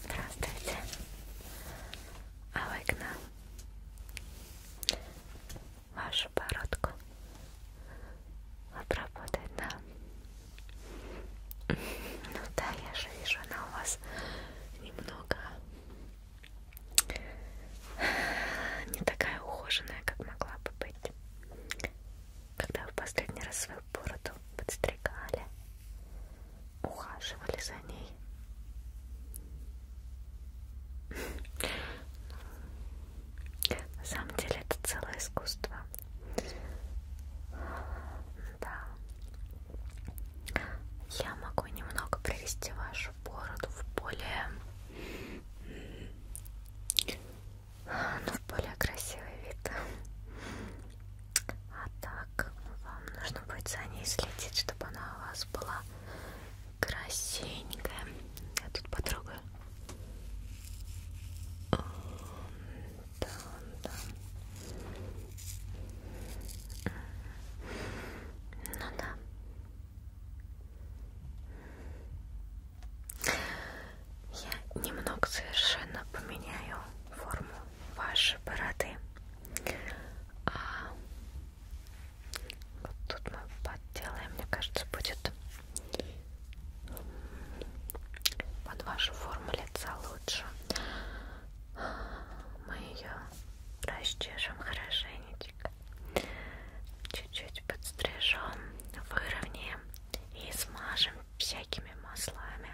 Здравствуйте. А вы к нам? Вашу бородку обработать, да? Ну да, я же вижу, она у вас немного не такая ухоженная, как могла бы быть когда в последний раз свою бороду подстригали, ухаживали за ней. На самом деле это целое искусство. Да. Я могу немного привести вашу бороду в более но в более красивый вид. А так вам нужно будет за ней следить, чтобы она у вас была красивенькая. Я тут потрогаю. Да, да. Ну да. Я немного совершенно поменяю форму вашей бороды. А вот тут мы подделаем, мне кажется, будет под вашу форму лица лучше. Мы ее расчешем хорошенечко стилька. Чуть-чуть подстрижем, выровняем и смажем всякими маслами,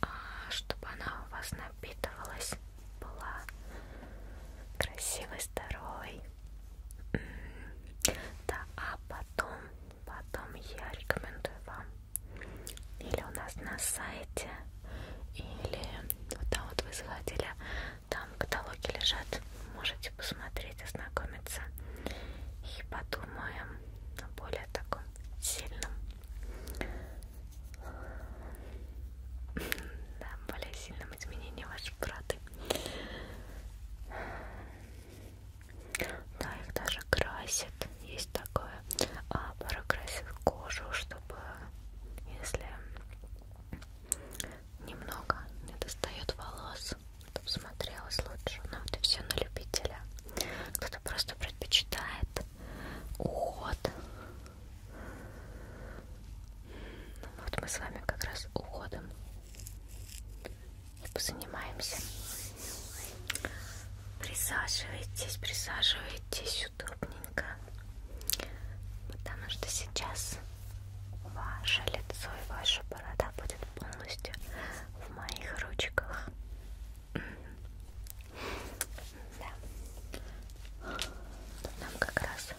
а, чтобы она у вас напитывалась, была красивой, здоровой. Да, а потом, потом я рекомендую вам или у нас на сайте, или вот там вот вы заходили там каталоги лежат, можете посмотреть, ознакомиться и подумаем о более таком сильном, да, более сильном изменении вашей проды. Да, их даже красят, есть такое. А порой красят кожу, чтобы если немного не достает волос, чтобы смотрелось лучше. Но ну, это все на любителя. Кто-то просто предпочитает уход. Ну, вот мы с вами как раз уходом и позанимаемся. Присаживайтесь, присаживайтесь удобненько, потому что сейчас Ваше лицо и ваша борода будет полностью в моих ручках. Да. Тут нам как раз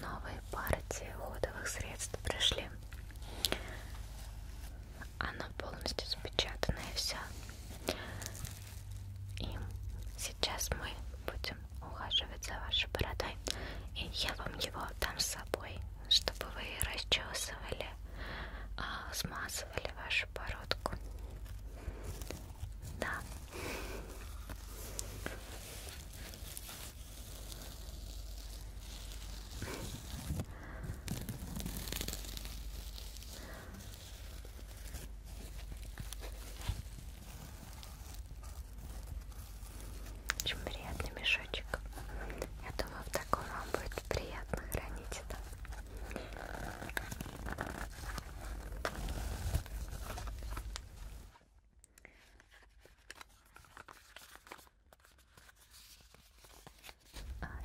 новые партии уходовых средств пришли. Оно полностью запечатанное все. И сейчас мы будем ухаживать за вашей бородой. И я вам его дам с собой, чтобы вы расчесывали, а, смазывали вашу бородку. Да. Очень приятный мешочек. Я думаю, в таком вам будет приятно хранить это. А,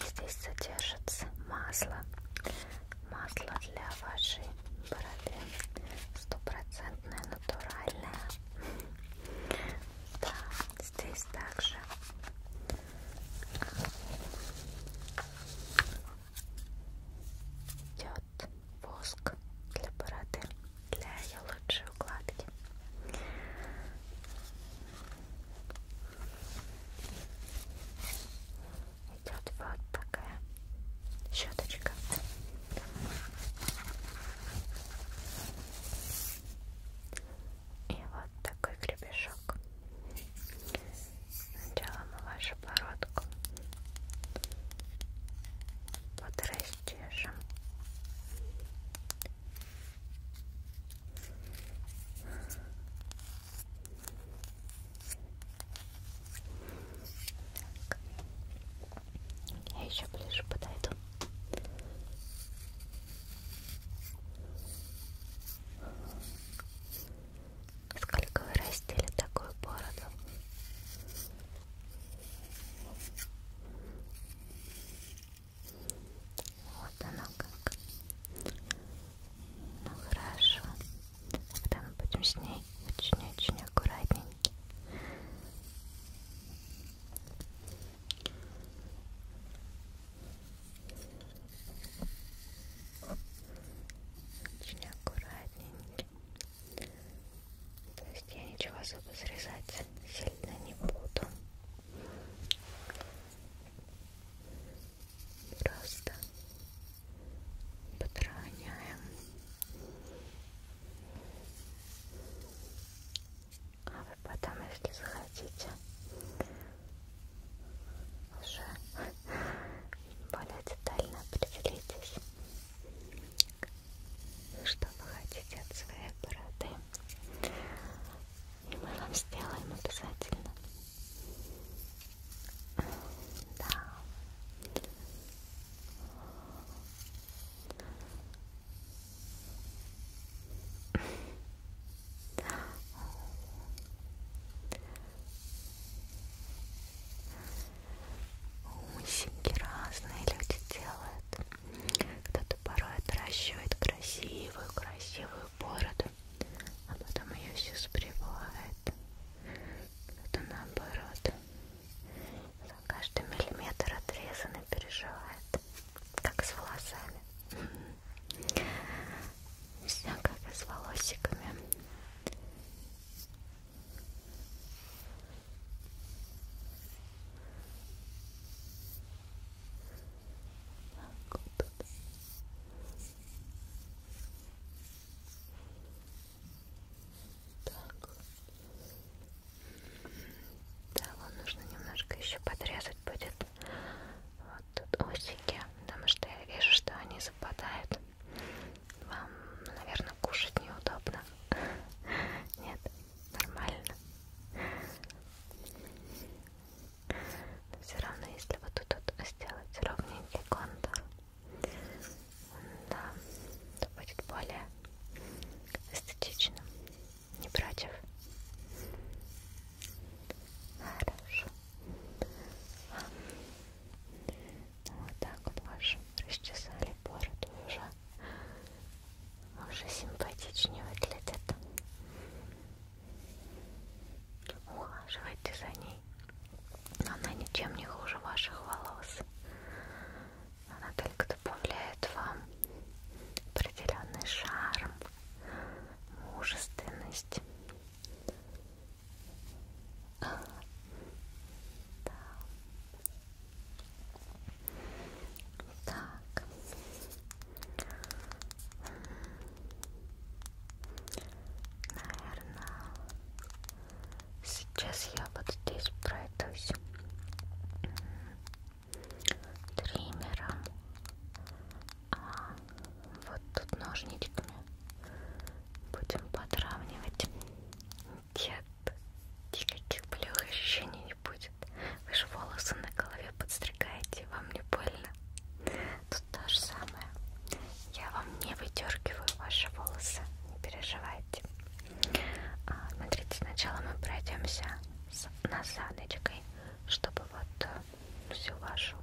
здесь содержится масло, масло для вашей бороды, стопроцентная натуральная. Да, здесь также идет воск для бороды, для ее лучшей укладки. Идет вот такая щеточка. И вот такой гребешок. Сначала мы вашу бородку подрастежим. Так. Я еще ближе подойду. Сколько вы растили такую бороду? Вот она как. Ну хорошо. Тогда мы будем с ней очень-очень аккуратненько. Очень аккуратненько. То есть я ничего особо срезать сильно не буду. Просто подраняем а вы потом, если захотите, уже более детально определитесь, что вы хотите от своей бороды. И мы вам сделаем обязательно. Да. Усики разные люди делают. Кто-то порой отращивает красивую, красивую бороду, а потом ее все сбривает. Кто-то наоборот Каждый миллиметр отрезанный переживает, как с волосами. Все как и с волосиками. Так, вот. Так. Да, вам нужно немножко еще подрезать будет вот тут усики, потому что я вижу, что они западают. Вам, наверное, кушать неудобно. Нет, нормально. Но все равно, если вот тут вот сделать ровненький контур, да, это будет более эстетично, не против. Хорошо. Вот так вот вашу расчесали бороду уже. Уже симпатичнее выглядит. Ухаживайте за ней. Она ничем не хуже ваших волос. Она только добавляет вам определенный шарм, мужественность. Да. Так. Наверное, Сейчас я вот здесь пройдусь триммером, а вот тут ножничками будем подравнивать. Нет, никаких болевых ощущений не будет. Вы же волосы на голове подстригаете, вам не больно. Тут то же самое самое. Я вам не выдергиваю ваши волосы, не переживайте. А, смотрите, сначала мы пройдемся с насадочкой, чтобы вот э, всю вашу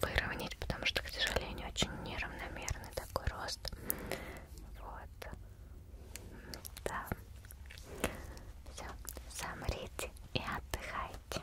выровнять, потому что, к сожалению, очень неравномерный такой рост. Вот. Да. Все, замрите и отдыхайте.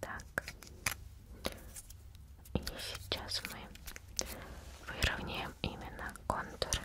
Так, и сейчас мы выровняем именно контур. Так.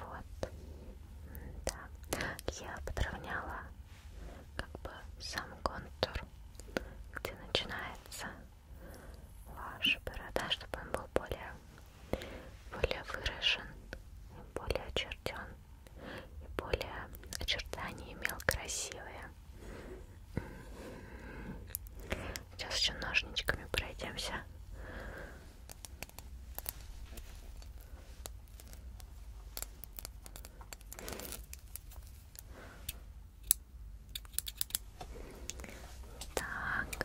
Вот, да, я подровняла как бы сам контур, где начинается ваша борода, чтобы он был более, более выражен и более очертен и более очертания имел красивые. Сейчас еще ножничками пройдемся. Так.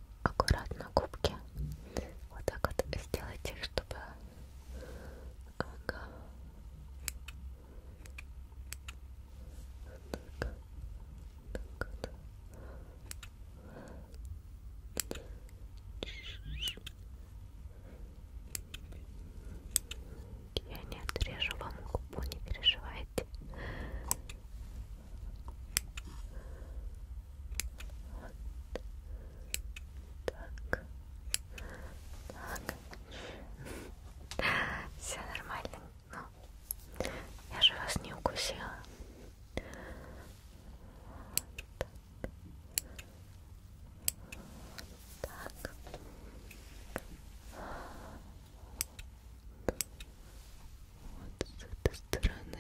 аккуратно губки вот так вот сделать их, чтобы ага. вот так. Так вот. Я не отрежу вам губу, не переживайте. Вот. Так. Так. Все нормально. Ну, я же вас не укусила. Вот. Так вот с этой стороны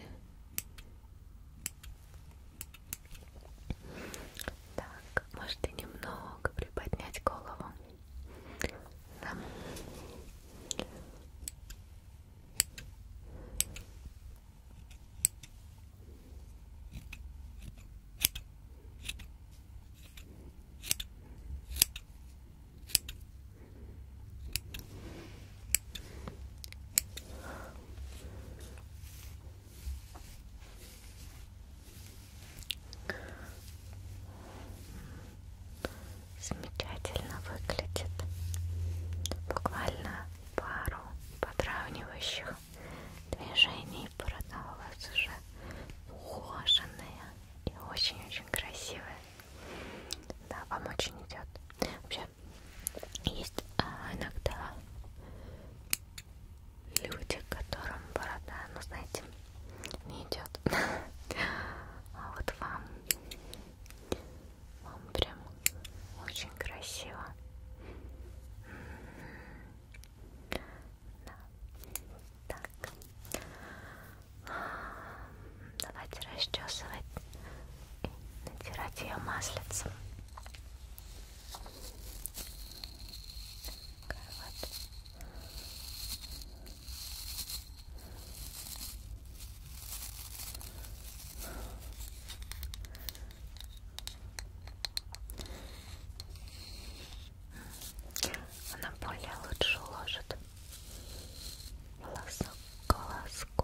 так, можете немного приподнять голову да. Замечательно выглядит. Буквально пару подравнивающих движений борода у вас уже ухоженная и очень-очень красивая. Да, вам очень идет. Вообще есть а, иногда люди, которым борода, ну знаете, не идет. А вот вам, вам прям очень красиво. Да. Так. Давайте расчесывать и натирать ее маслицем. Вот. Она более лучше уложит волосок к волоску.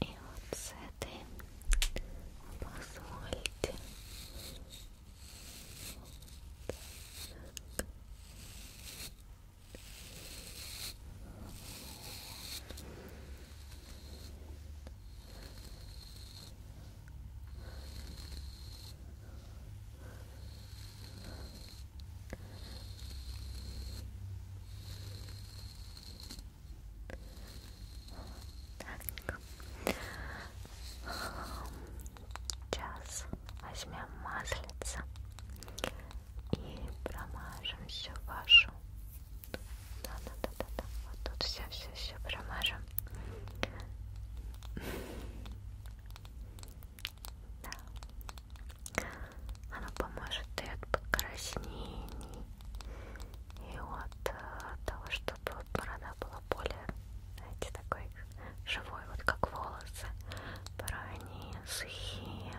И вот с этой позвольте. Вот так Мягенько. Сейчас возьмем маслица и промажем всю вашу. Да-да-да-да-да. Вот тут все-все-все промажем. Да. Оно поможет и от покраснений, и э, от того, чтобы борода была более, знаете, такой живой, вот как волосы. Порой они сухие,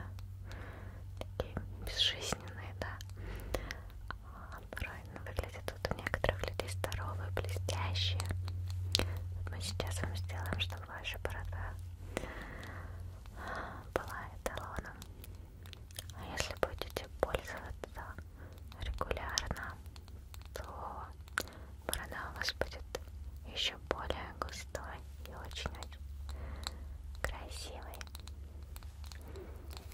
такие безжизненные, да. А порой ну, выглядят вот у некоторых людей здоровые, блестящие. Вот мы сейчас вам сделаем, чтобы ваша борода а, была эталоном. А если будете пользоваться регулярно, то борода у вас будет еще более густой и очень-очень красивой. Итак,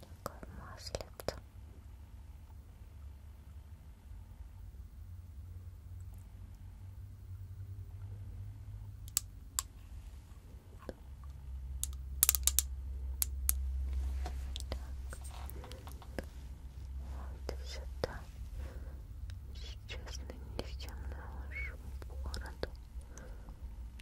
такой маслица. Так, вот сюда. Сейчас нанесем нашу бороду. Так.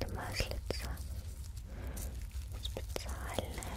Это маслица специальная.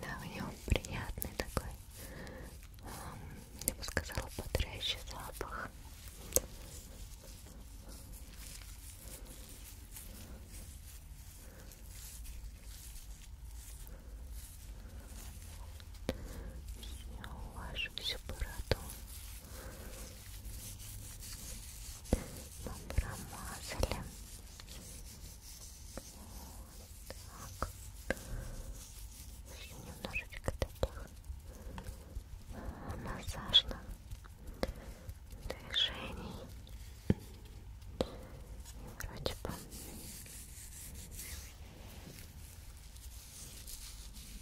Да, у него приятный такой, эм, я бы сказала, бодрящий запах. Я увожу всю бороду мы промазали вот так немножечко таких массажных движений и вроде бы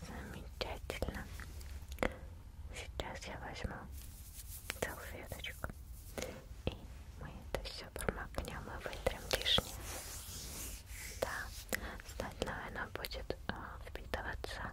Замечательно. Сейчас я возьму салфеточку. И мы это все промокнем и вытрем лишнее. Да, остальное оно будет э, впитываться.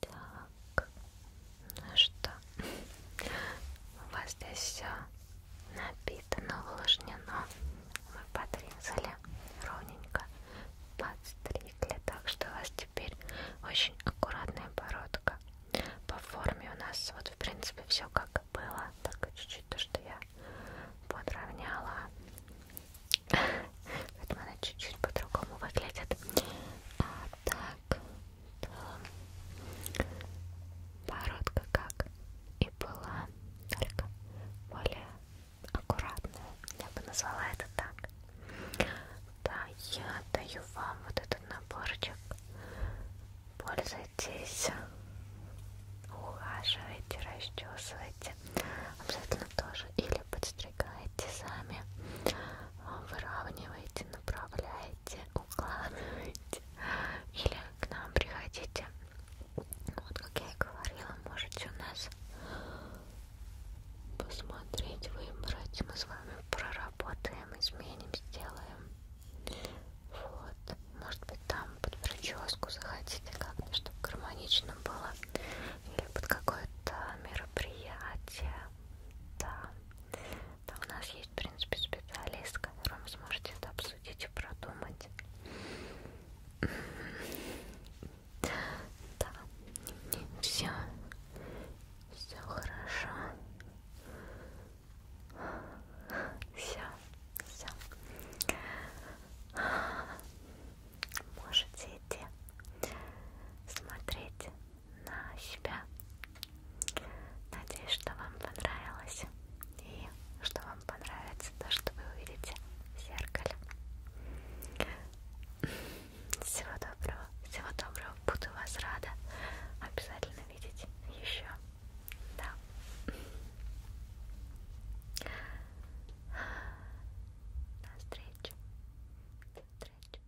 Так, ну что, у вас здесь все напитано, увлажнено. Мы подрезали ровненько подстригли, так что у вас теперь очень аккуратная бородка. По форме у нас вот в принципе все как было, только чуть-чуть то, что я подровняла. Поэтому она чуть-чуть по-другому выглядит. А так, то бородка как и была, только более аккуратная. Я бы назвала это так. Да, я даю вам вот этот наборчик. Пользуйтесь, ухаживайте, расчесывайте. Обязательно тоже или подстригайте сами, выравнивайте, направляйте, укладывайте. Или к нам приходите. Вот как я и говорила, можете у нас посмотреть, выбрать. Мы с вами проработаем, изменим, сделаем. Вот. Может быть, там под прическу захотите как-то, чтобы гармонично было. Или под какое-то мероприятие. Да. Там у нас есть, в принципе, специалист, с которым вы сможете это обсудить и продумать. Да, все, все хорошо. Все, все. Можете идти смотреть на себя. Надеюсь, что вам понравилось и что вам понравится то, что вы увидите в зеркале. Всего доброго, всего доброго. Буду вас рада обязательно видеть еще. Да. До встречи. До встречи.